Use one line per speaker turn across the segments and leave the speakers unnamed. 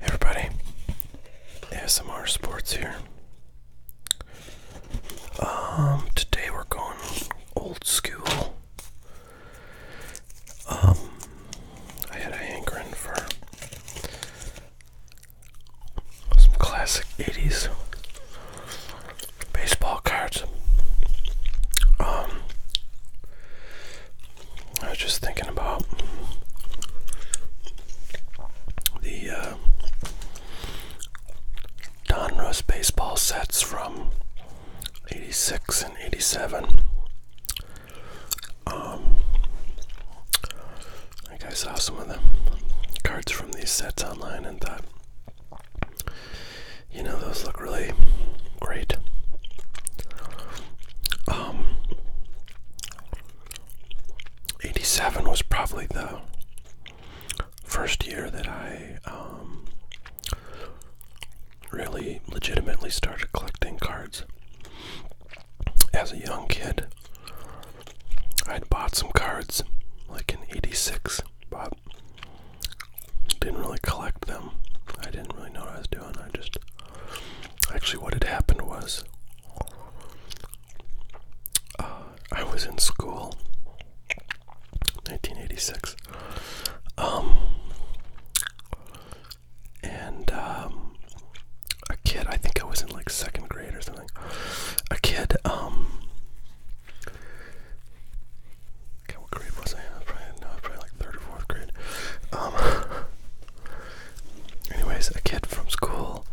Everybody, ASMR Sports here. Um, today we're going old school. Um, I had a hankering for some classic 80s baseball cards. Um, I was just thinking about the uh, Donruss baseball sets from 86 and 87. Um, I think I saw some of the cards from these sets online and thought you know, those look really great. Um, 87 was probably the first year that I um, really legitimately started collecting cards. As a young kid, I'd bought some cards like in 86, but didn't really collect them. I didn't really know what I was doing. I just actually what had happened was uh, I was in school 1986 um, and um, a kid I think I was in like second grade or something a kid um what grade was I? I probably, like third or fourth grade. Um, anyways, a kid from school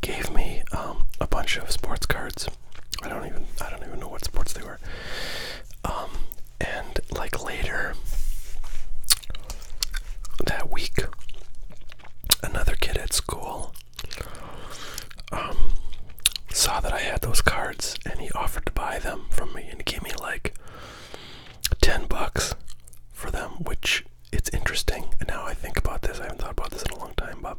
gave me um, a bunch of sports cards. I don't even I don't even know what sports they were. Um, and like later that week, another kid at school saw that I had those cards and he offered to buy them from me and he gave me like 10 bucks for them, which it's interesting. And now I think about this, I haven't thought about this in a long time, but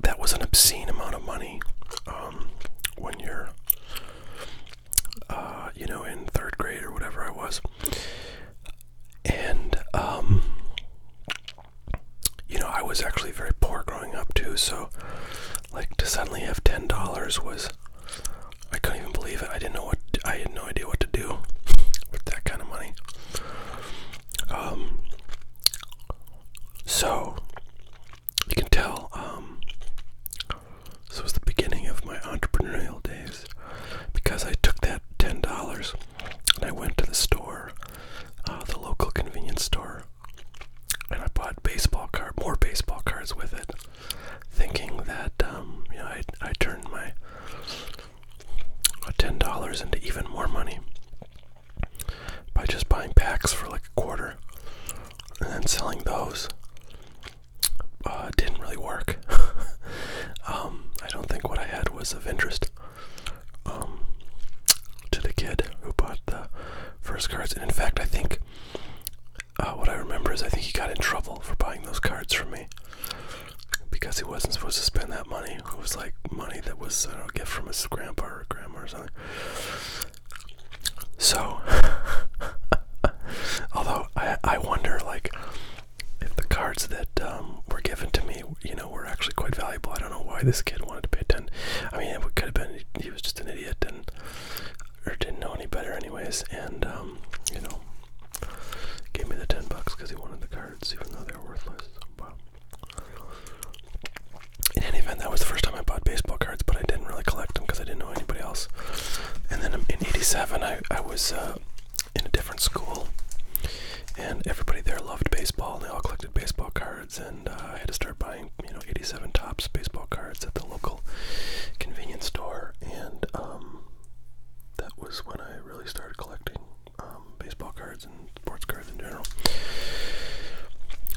that was an obscene amount of money um, when you're, uh, you know, in third grade or whatever I was. And, um, you know, I was actually very poor growing up too, so like to suddenly have ten dollars was I couldn't even believe it. I didn't know what I had no idea what to do with that kind of money. Um, so you can tell. Um, this was the beginning of my entrepreneurial days because I took that ten dollars and I went to the store, uh, the local convenience store and I bought baseball card, more baseball cards with it, thinking that um, you know I I turned my uh, ten dollars into even more money by just buying packs for like a quarter and then selling those. Uh, didn't really work. um, I don't think what I had was of interest um, to the kid who bought the First cards. And in fact, I think uh, what I remember is I think he got in trouble for buying those cards from me because he wasn't supposed to spend that money. It was like money that was I don't know, a gift from his grandpa or grandma or something. So, although I I wonder like if the cards that um, were given to me, you know, were actually quite valuable. I don't know why this kid wanted to pay attention. I mean, it could have been he was just an idiot idiot and or didn't know any better anyways and um, you know gave me the 10 bucks because he wanted the cards even though they were worthless but in any event that was the first time i bought baseball cards but i didn't really collect them because i didn't know anybody else and then in 87 i, I was uh, in a different school and everybody there loved baseball and they all collected baseball cards and uh, I had to start buying, you know, 87 tops baseball cards at the local convenience store, and um, that was when I really started collecting um, baseball cards and sports cards in general.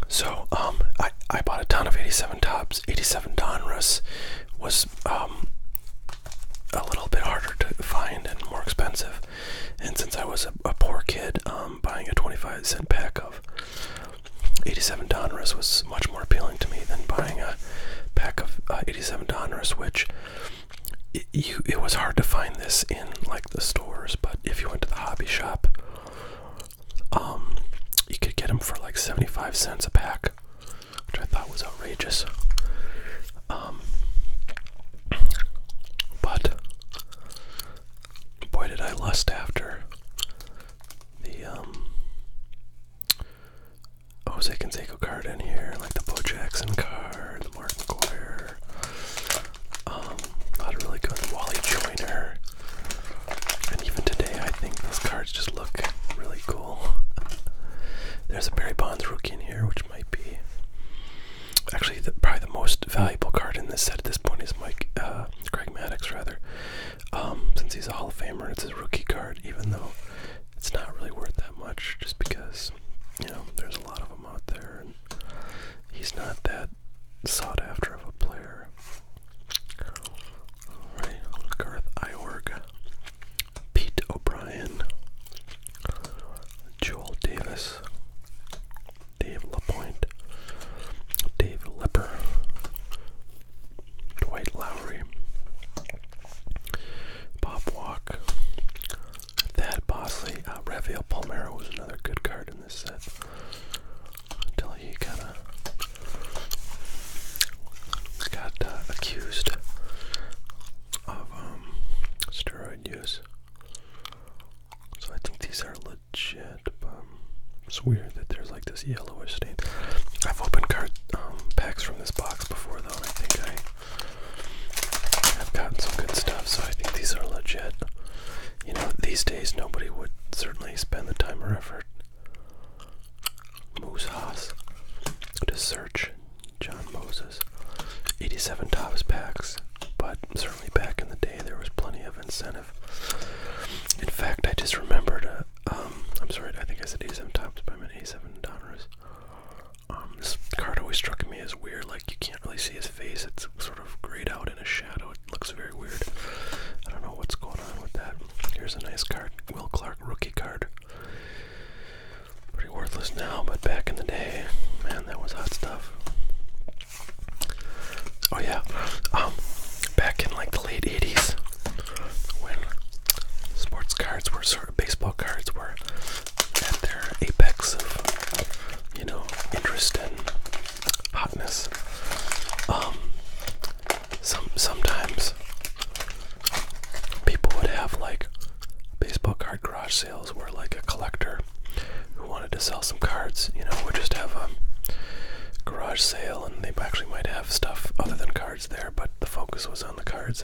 So um, I I bought a ton of 87 tops. 87 Donruss was a little bit harder to find and more expensive. And since I was a, poor kid, buying a 25 cent pack of 87 Donruss was much more appealing to me than buying a pack of uh, 87 Donruss, which it, was hard to find this in like the stores, but if you went to the hobby shop, um, you could get them for like 75 cents a pack, which I thought was outrageous. Um, but boy did I lust after the um Jose oh, Canseco card in here, like the Bo Jackson card, the Mark McGuire, um, a really good Wally Joyner. And even today I think those cards just look really cool. There's a Barry Bonds rookie in here, which might be Actually, probably the most valuable card in this set at this point is Mike uh, Greg Maddox, rather, um, since he's a Hall of Famer. It's a rookie card, even though it's not really worth that much, just because you know there's a lot of them out there, and he's not that sought after of a player. All right, Garth Iorg, Pete O'Brien, Joel Davis, Dave LaPointe, Dave Lepper, Dwight Lowry, Bob Walk, Thad Bosley, uh, Rafael Palmero was another good card in this set until he kind of got uh, accused of um, steroid use. So I think these are it's weird that there's like this yellowish stain. I've opened card um, packs from this box before though, and I think I have gotten some good stuff, so I think these are legit. You know, these days nobody would certainly spend the time or effort. Moose to search John Moses. 87 tops packs but certainly back in the day there was plenty of incentive. In fact, I just remembered. Uh, um, I'm sorry, I think I said A7 tops, but I meant A7 downers. Um, this card always struck me as weird. Like you can't really see his face; it's sort of grayed out in a shadow. It looks very weird. I don't know what's going on with that. Here's a nice card, Will Clark rookie card. Pretty worthless now, but back in the day, man, that was hot stuff. Oh yeah, um, back in like the late '80s, when sports cards were sort of baseball cards were at their apex of you know interest and hotness. Um, some sometimes people would have like baseball card crushes sales were like a collector who wanted to sell some cards, you know, would just have a garage sale and they actually might have stuff other than cards there, but the focus was on the cards.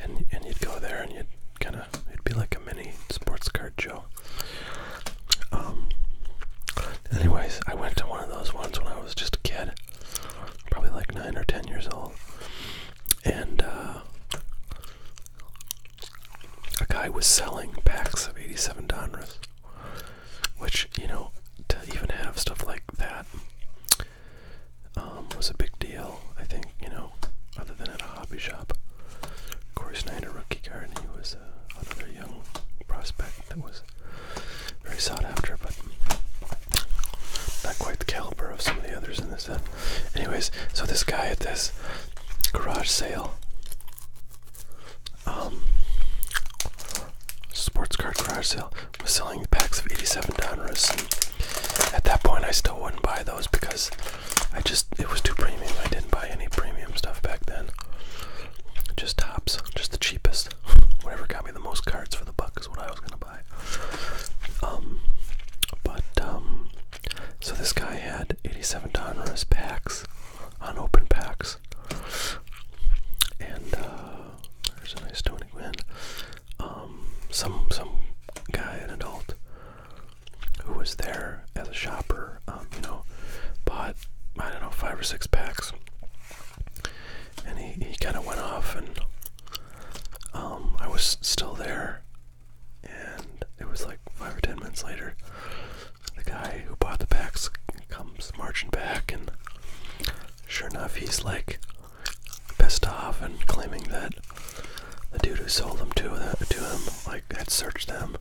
And and you'd go there and you'd kind of it'd be like a mini sports card show. Um anyways, I went to one of those ones when I was just a kid, probably like 9 or 10 years old. And uh a guy was selling packs of 87 Donruss, which, you know, to even have stuff like that um, was a big deal, I think, you know, other than at a hobby shop. Corey Snyder, rookie card, he was uh, another young prospect that was very sought after, but not quite the caliber of some of the others in this set. Uh, Anyways, so this guy at this garage sale, um, sports card garage sale, was selling packs of 87 Donruss. And at that point, I still wouldn't buy those because I just, it was too premium. I didn't buy any premium stuff back then. Just tops, just the cheapest. Whatever got me the most cards for the buck is what I was gonna buy. Um, but um, so this guy had 87 Donruss packs, unopened packs, and uh, there's a nice Tony man. Um, some some guy, an adult, who was there as a shopper, um, you know, bought I don't know five or six packs, and he he kind of went off, and um, I was still there and it was like five or ten minutes later, the guy who bought the packs comes marching back, and sure enough, he's like pissed off and claiming that the dude who sold them to the, to him like had searched them,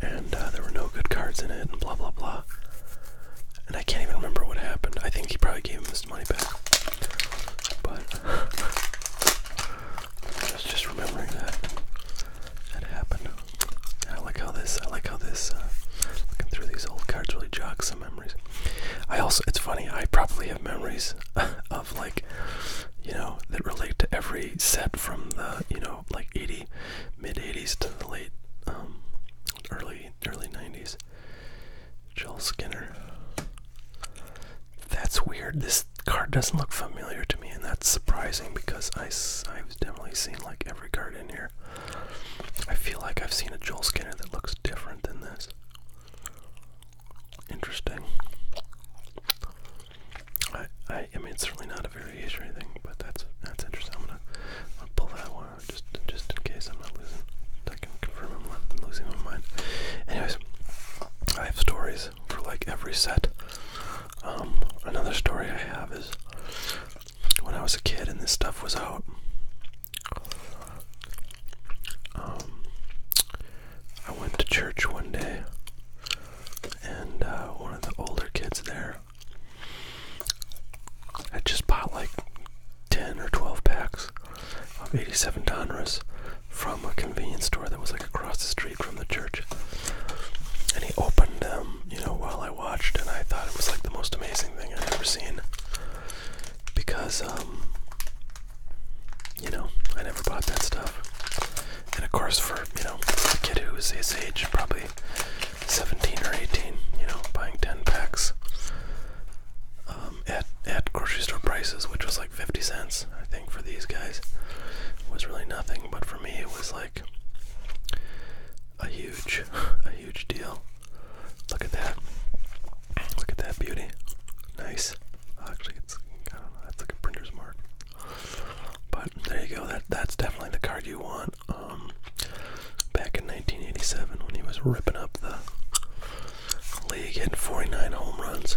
and uh, there were no good cards in it, and blah blah blah. And I can't even remember what happened. I think he probably gave him his money back, but. just remembering that that happened. I like how this. I like how this. Uh, looking through these old cards really jogs some memories. I also. It's funny. I probably have memories of like, you know, that relate to every set from the you know like 80s, mid 80s to the late, um, early early 90s. Joel Skinner. That's weird. This card doesn't look familiar to me, and that's surprising because I, I've definitely seen like every card in here. I feel like I've seen a Joel Skinner that looks different than this. Interesting. I, I, mean, it's certainly not a variation or anything, but that's that's interesting. I'm gonna, I'm gonna pull that one out just just in case I'm not losing. I can confirm I'm losing my mind. Anyways, I have stories for like every set. Um, another story I have is when I was a kid and this stuff was out. Um, I went to church one day, and uh, one of the older kids there had just bought like 10 or 12 packs of 87 Donruss from a convenience store that was like across the street from the church. And he opened them, you know, while I watched, and I thought it was like the most amazing thing i would ever seen. Because, um, you know, I never bought that stuff. And of course, for, you know, a kid who was his age, probably 17 or 18, you know, buying 10 packs um, at at grocery store prices, which was like fifty cents, I think, for these guys, it was really nothing. But for me, it was like a huge, a huge deal. Look at that! Look at that beauty. Nice. Actually, it's kind of That's like a printer's mark. But there you go. That that's definitely the card you want. Um, back in 1987, when he was ripping up the league, hitting 49 home runs.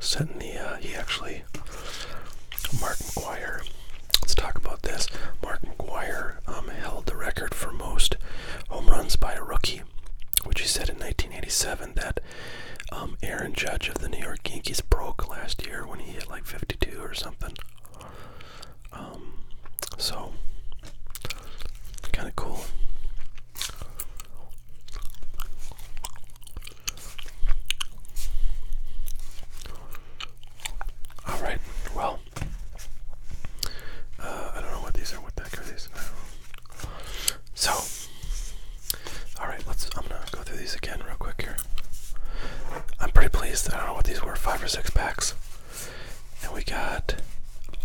Setting the, uh, he actually, Mark McGuire. Let's talk about this. Mark McGuire um, held the record for most home runs by a rookie, which he said in 1987 that um, Aaron Judge of the New York Yankees broke last year when he hit like 52 or something. Um, so, kind of cool. All right. Well, uh, I don't know what these are. What the heck are So, all right. Let's. I'm gonna go through these again real quick here. I'm pretty pleased. I don't know what these were. Five or six packs. And we got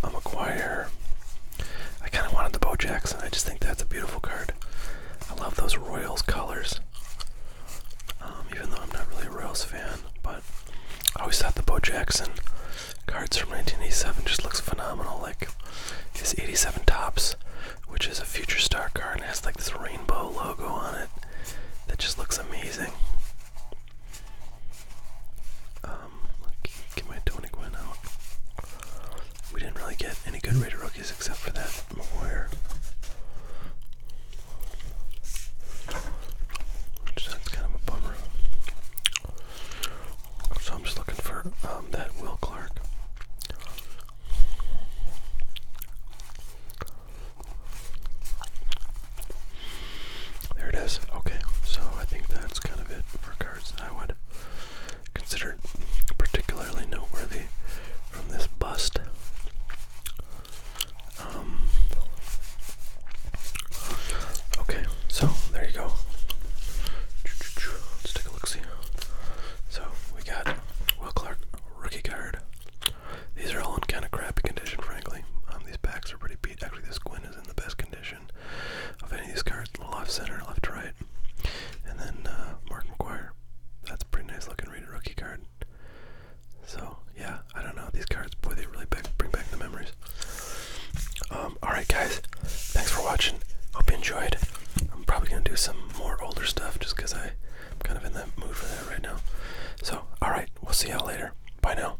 a McGuire. I kind of wanted the Bo Jackson. I just think that's a beautiful card. I love those Royals colors. Um, even though I'm not really a Royals fan, but I always thought the Bo Jackson cards from 1987 just looks phenomenal. Like this 87 tops, which is a future star card and has like this rainbow logo on it that just looks amazing. Um, get my tonic went out. We didn't really get any good rated rookies except for that Moir. Which that's kind of a bummer. So I'm just looking for um, that Will Clark. There it is. Okay, so I think that's kind of it for cards I would consider particularly noteworthy from this bust. Um, okay, so there you go. Let's take a look see. So we got Will Clark rookie card. These are all in kind of crappy condition, frankly. Um, these packs are pretty beat. Actually, this Gwyn is in the best condition of any of these cards. Left center, left right. And then uh, Mark McGuire. That's a pretty nice looking rated rookie card. So, yeah, I don't know. These cards, boy, they really bring back the memories. Um, alright, guys. Thanks for watching. Hope you enjoyed. I'm probably going to do some more older stuff just because I'm kind of in that mood for that right now. So, alright, we'll see y'all later. Bye now.